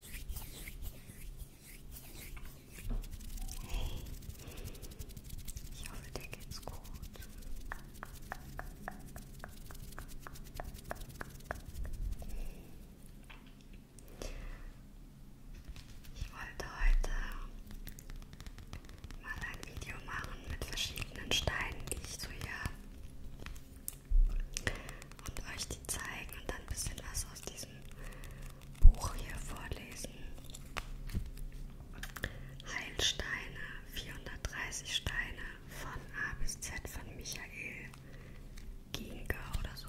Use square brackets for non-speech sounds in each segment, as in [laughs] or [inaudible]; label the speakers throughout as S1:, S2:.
S1: Hey, ich hoffe, dir geht's gut. Ich wollte heute mal ein Video machen mit verschiedenen Steinen, die ich so hier und euch die zeigen und dann ein bisschen was aus diesem Buch hier vorlesen. Heilsteine, 430 Steine von A bis Z von Michael Gienke oder so.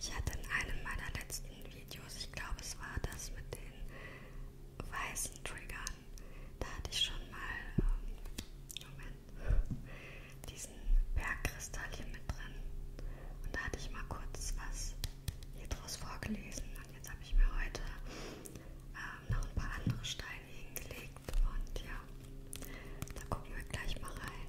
S1: Ich hatte in einem meiner letzten Videos, ich glaube es war das mit den weißen Triggern, da hatte ich schon mal, ähm, Moment, diesen Bergkristall hier mit drin. Und da hatte ich mal kurz was hier draus vorgelesen. Und jetzt habe ich mir heute ähm, noch ein paar andere Steine hingelegt. Und ja, da gucken wir gleich mal rein.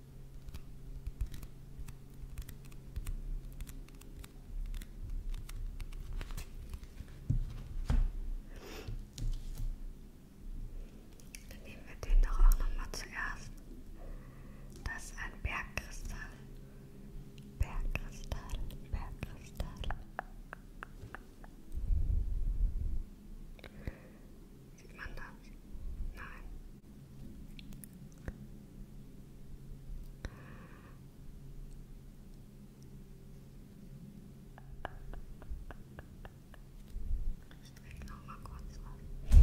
S1: Dann nehmen wir den doch auch nochmal zuerst. Das ist ein Bergkristall. Bergkristall, Bergkristall. Sieht man das? Nein. Ich drehe noch mal kurz auf.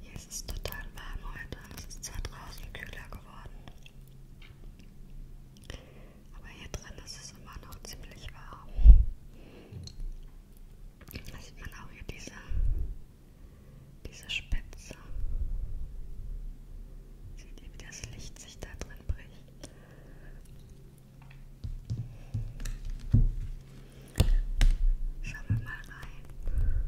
S1: Hier ist es total warm heute und es ist zwar draußen kühler geworden. Aber hier drin ist es immer noch ziemlich warm. Da sieht man auch hier diese, diese Spitze. Seht ihr, wie das Licht sich da drin bricht? Schauen wir mal rein.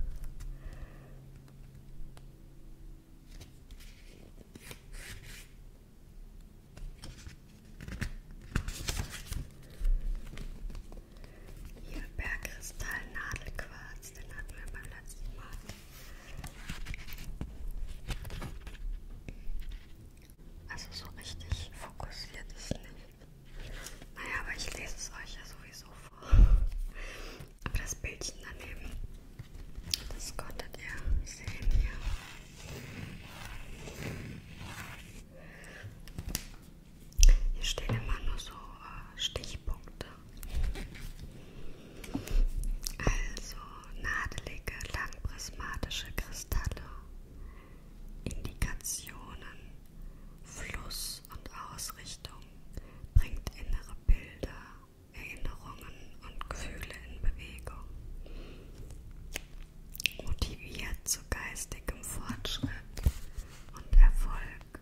S1: Hier Bergkristall Nadelquarz, den hatten wir beim letzten Mal. Also so richtig fokussiert ist nicht. Naja, aber ich lese es euch ja sowieso vor. Aber das Bildchen daneben, das konntet ihr sehen hier. Hier stehen immer nur so äh, Stichpunkte. Also nadelige, langprismatische Kristalle, Indikationen, Fluss und Ausrichtung bringt innere Bilder, Erinnerungen und Gefühle in Bewegung motiviert zu geistigem Fortschritt und Erfolg,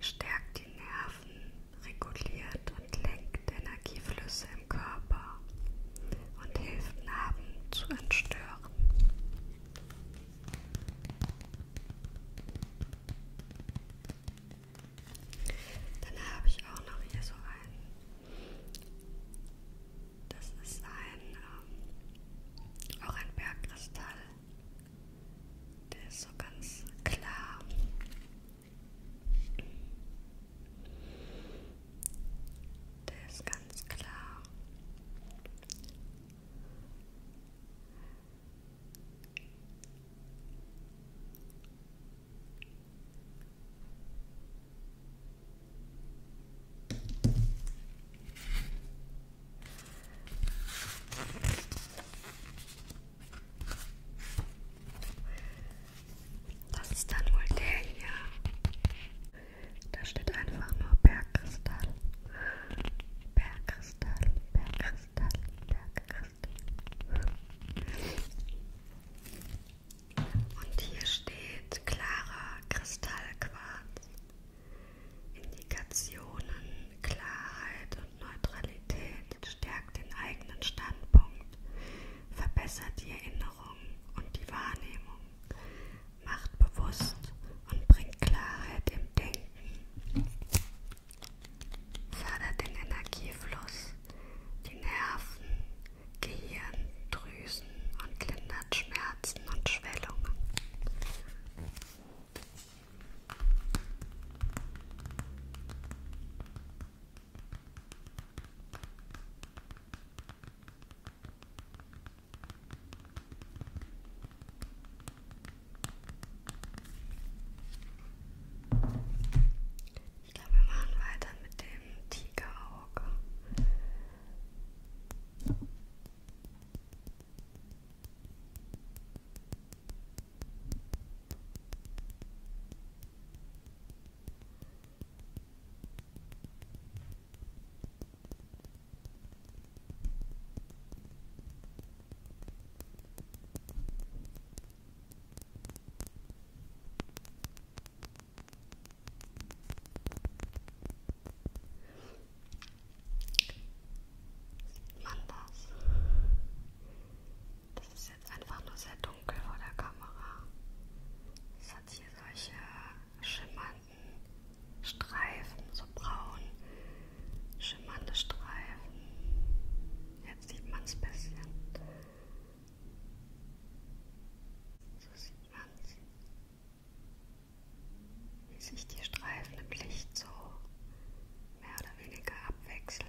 S1: stärkt die Nerven, reguliert und lenkt Energieflüsse im Körper und hilft Narben zu entstören. Dann habe ich auch noch hier so einen das ist ein, ähm, auch ein Bergkristall. Der ist so ganz klar. Der ist ganz klar. Das ist dann wohl der hier. Da steht einfach nur Bergkristall. Bergkristall, Bergkristall, Bergkristall. Und hier steht klarer Kristallquarz. Indikationen, Klarheit und Neutralität stärkt den eigenen Standpunkt, verbessert die Erinnerung und die Wahrnehmung, macht bewusst und bringt Klarheit im Denken, fördert den Energiefluss, die Nerven, Gehirn, Drüsen und lindert Schmerzen und Schwellungen. Ich glaube, wir machen weiter mit dem Tigerauge. Sieht man das? Das ist jetzt einfach nur sehr dunkel vor der Kamera. Es hat hier solche schimmernden Streifen, so braun. Schimmernde Streifen. Jetzt sieht man es ein bisschen. So sieht man's, wie sich die Streifen im Licht so mehr oder weniger abwechseln.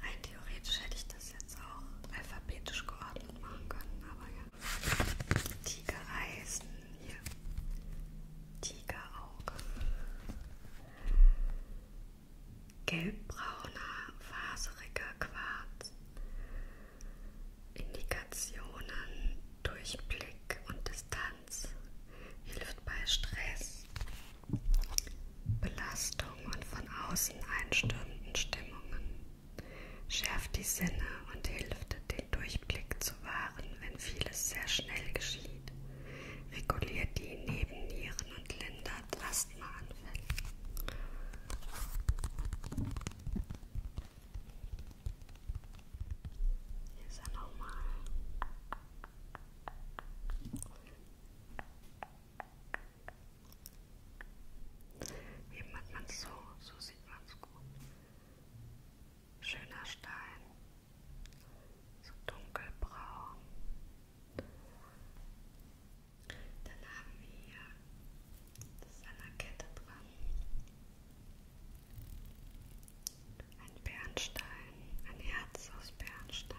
S1: Rein theoretisch hätte ich das jetzt auch alphabetisch geordnet machen können, aber ja. Tigereisen hier. Tigerauge gelbbrauner, faseriger Quarz. Indikationen durch Blick und Distanz hilft bei Stress, Belastung und von außen einstürmenden Stimmungen, schärft die Sinne und hilft, den Durchblick zu wahren, wenn vieles sehr schnell geschieht reguliert die Nebennieren und lindert Asthmaanfälle. Hier ist er nochmal. Eben hat man es so, so sieht man es gut. Schöner Stein, so dunkelbraun. Dann haben wir hier das ist an der Kette dran. Ein Bernstein, ein Herz aus Bernstein.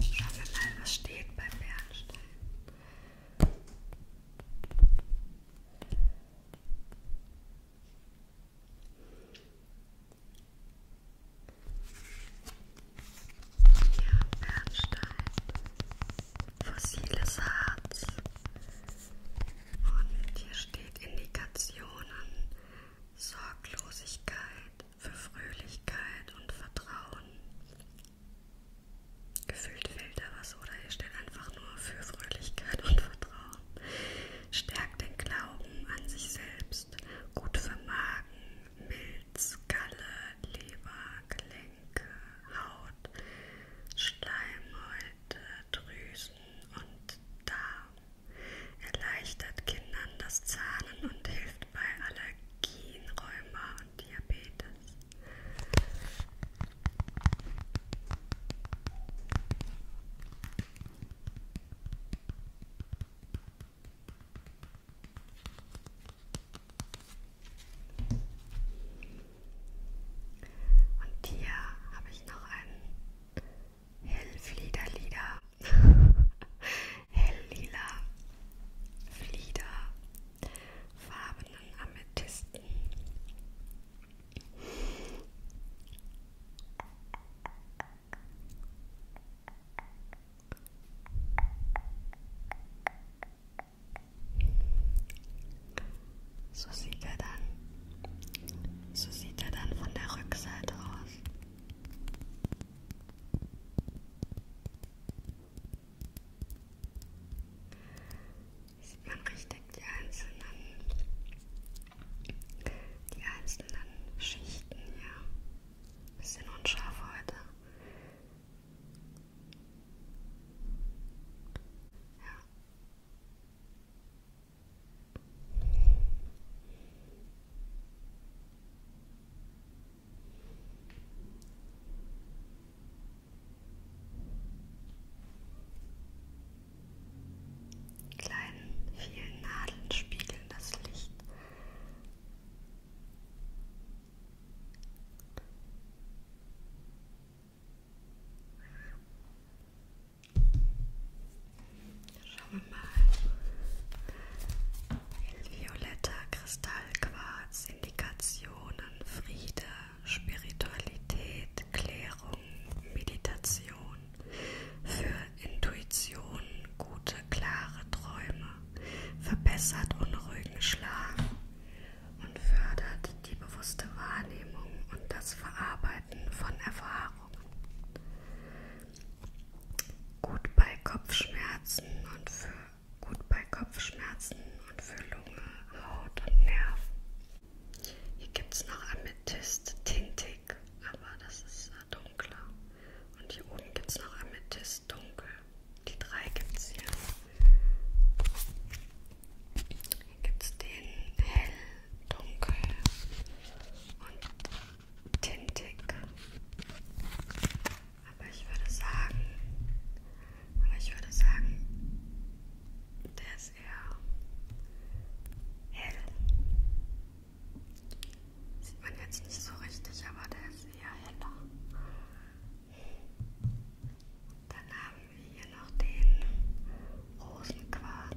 S1: Schauen wir mal, was steht beim Bernstein. Ja, Bernstein, fossiles Harz. Und hier steht Indikationen, Sorglosigkeit für Fröhlichkeit und Vertrauen. Gefüllt Filterwasser oder ihr steht einfach nur für Fröhlichkeit und Vertrauen. Stärkt den Glauben an sich selbst. Gut für Magen, Milz, Galle, Leber, Gelenke, Haut, Schleimhäute, Drüsen und Darm. Erleichtert Kindern das Zahnen und hilft bei Allergien, Rheuma und Diabetes. Und hier habe ich noch einen Hellfliederlieder. [laughs] Helllila Flieder farbenen Amethysten. So sieht er dann. So sieht er dann von der Rückseite aus. Sieht man richtig die einzelnen, die einzelnen Schichten hier. Bisschen unscharf heute. Ja. Die kleinen vielen Nadeln spiegeln das Licht. Schauen wir mal. Violetter Kristallquarz Indikation. Religionen, Friede, Spiritualität, Klärung, Meditation, für Intuition, gute, klare Träume, verbessert unruhigen Schlaf und fördert die bewusste Wahrnehmung und das Verarbeiten von Erfahrungen. Gut bei Kopfschmerzen und für Gut bei Kopfschmerzen und für Lunge, Haut und Nerven. Hier gibt es noch Amethyst tintig, aber das ist äh, dunkler. Und hier oben gibt es noch Amethyst dunkel. Die drei gibt es hier. Hier gibt es den hell, dunkel und tintig. Aber ich würde sagen, aber ich würde sagen, der ist eher hell. Sieht man jetzt nicht so richtig, aber der ist eher heller. Dann haben wir hier noch den Rosenquarz.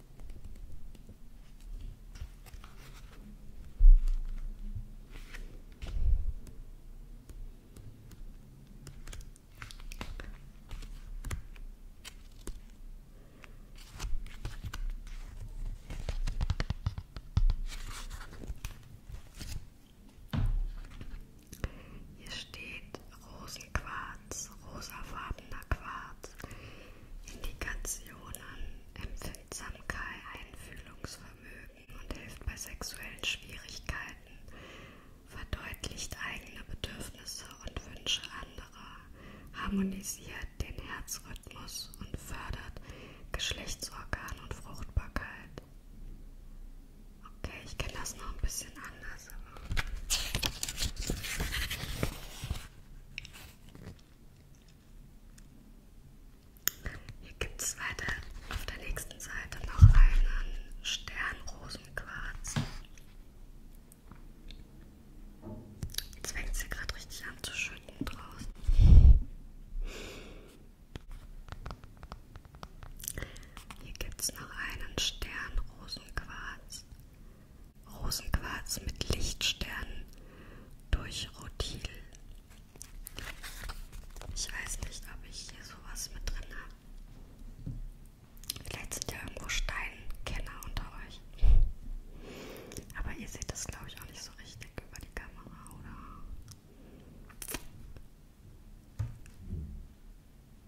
S1: Hier steht Rosenquarz, rosafarbener Quarz, Indikationen, Empfindung. Empfindsamkeit, Einfühlungsvermögen und hilft bei sexuellen Schwierigkeiten, verdeutlicht eigene Bedürfnisse und Wünsche anderer, harmonisiert den Herzrhythmus und fördert Geschlechtsorgan und Fruchtbarkeit. Okay, ich kenne das noch ein bisschen anders. Aber hier gibt es weiter auf der nächsten Seite noch einen Sternrosenquarz. Jetzt fängt sie gerade richtig an zu schütten draußen. Hier gibt es noch einen Sternrosenquarz. Rosenquarz mit Lichtsternen durch Rodil. Ich weiß nicht, ob ich hier sowas mit drin habe. Vielleicht sind ja irgendwo Steinkenner unter euch. Aber ihr seht das, glaube ich, auch nicht so richtig über die Kamera, oder?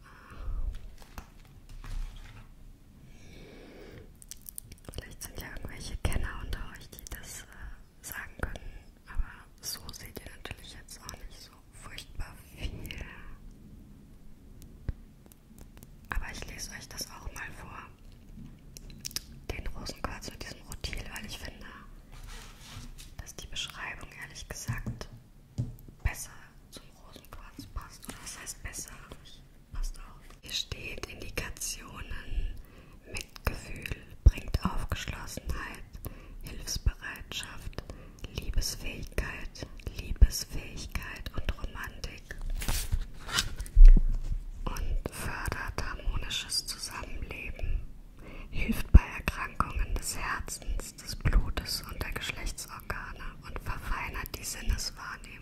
S1: Ah. Vielleicht sind ja irgendwelche Kenner unter euch, die das äh, sagen können, aber so seht ihr natürlich jetzt auch nicht so furchtbar viel. Aber ich lese euch das auch mal vor. Den Rosenquarz mit diesem Rotil, weil ich finde, dass die Beschreibung ehrlich gesagt besser zum Rosenquarz passt. Oder was heißt besser? Ich Passt auf. Hier steht Indikationen, Mitgefühl bringt Aufgeschlossenheit, Hilfsbereitschaft, Liebesfähigkeit, Liebesfähigkeit und Romantik und fördert harmonisches Zusammenleben, hilft bei Erkrankungen des Herzens, des Blutes und der Geschlechtsorgane und verfeinert die Sinneswahrnehmung.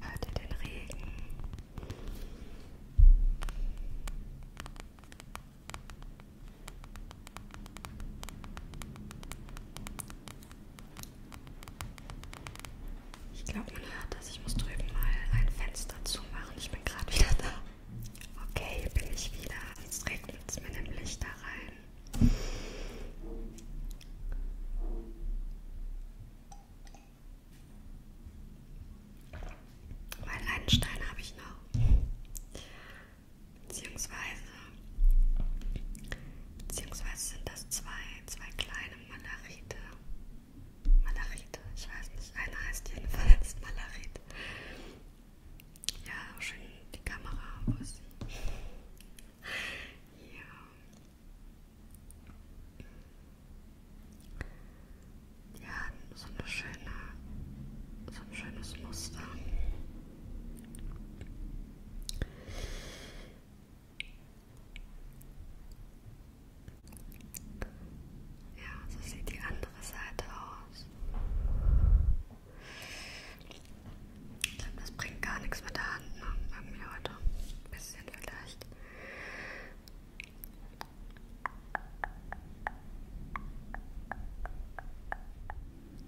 S1: Hört ihr den Regen? Ich glaube, man hört das. Ich muss drüben mal ein Fenster zumachen. Ich bin gerade wieder da. Okay, hier bin ich wieder. Jetzt regnet es mir nämlich da rein. Weil einen Stein habe ich noch. Beziehungsweise, beziehungsweise sind das zwei, zwei kleine Malarite. Malachite, ich weiß nicht, einer heißt jedenfalls [laughs] Malachit. Ja, schön die Kamera, wo ist sie? Ja. Die haben so eine schöne, so ein schönes Muster. Ja, so sieht die andere Seite aus. Ich glaube, das bringt gar nichts mit der Hand, ne? Irgendwie heute. Ein bisschen vielleicht.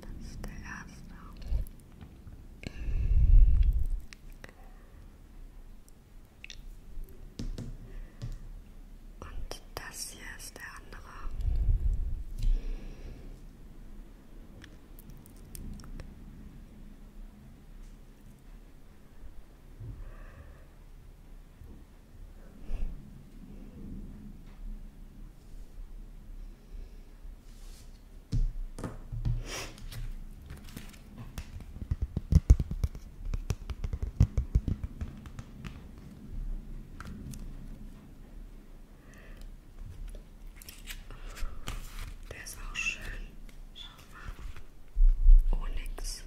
S1: Das ist der erste. Und das hier ist der andere. Der ist auch schön. Schau oh, mal. Onyx.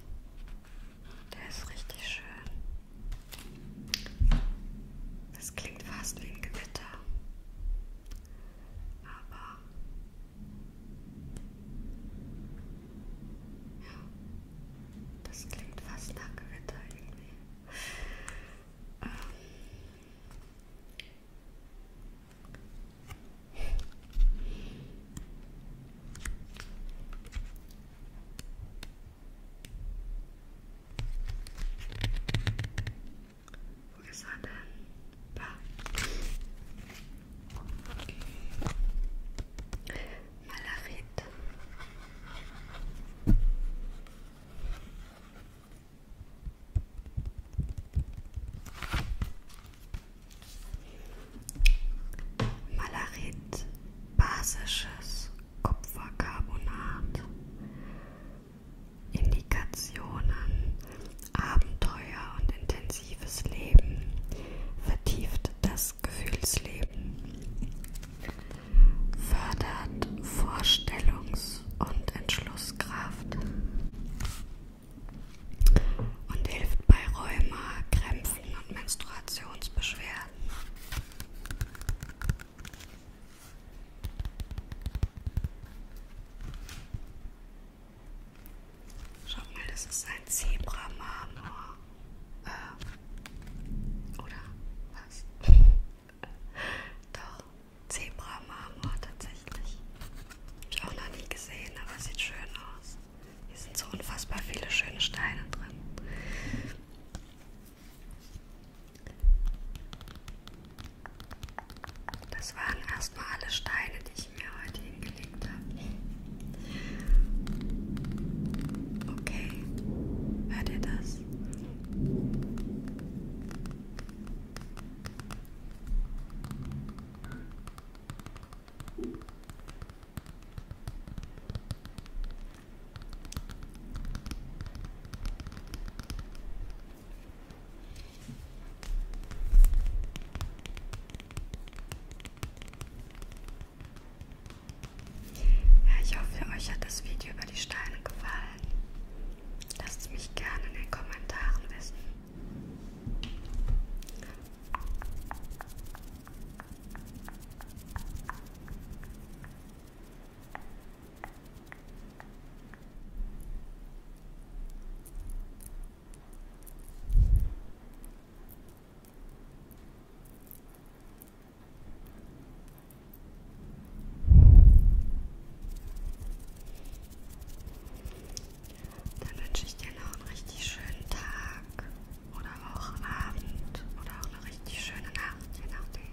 S1: Der ist richtig schön. Das klingt fast wie ein Gewitter. Aber ja, das klingt fast nach Gewitter irgendwie. Ähm. Wo ist er denn? Da. Malarit. Malarit, basisches Kupfercarbonat, Indikationen, Abenteuer und intensives Leben vertieft das Gefühlsleben, fördert Vorstellungs- und Entschlusskraft und hilft bei Rheuma, Krämpfen und Menstruationsbeschwerden. Schaut mal, das ist ein Zebra-Marmor. Äh, oder was? [laughs] Doch, Zebra-Marmor tatsächlich. Hab ich auch noch nie gesehen, aber sieht schön aus. Hier sind so unfassbar viele schöne Steine drin. Das waren erstmal alle Steine, die ich mir heute hingelegt habe. Okay, hört ihr das? Ja, ich hoffe, euch hat das Video über die Steine gefallen. Lasst es mich gerne in den Kommentaren wissen. Dann wünsche ich dir noch einen richtig schönen Tag oder auch Abend oder auch eine richtig schöne Nacht, je nachdem.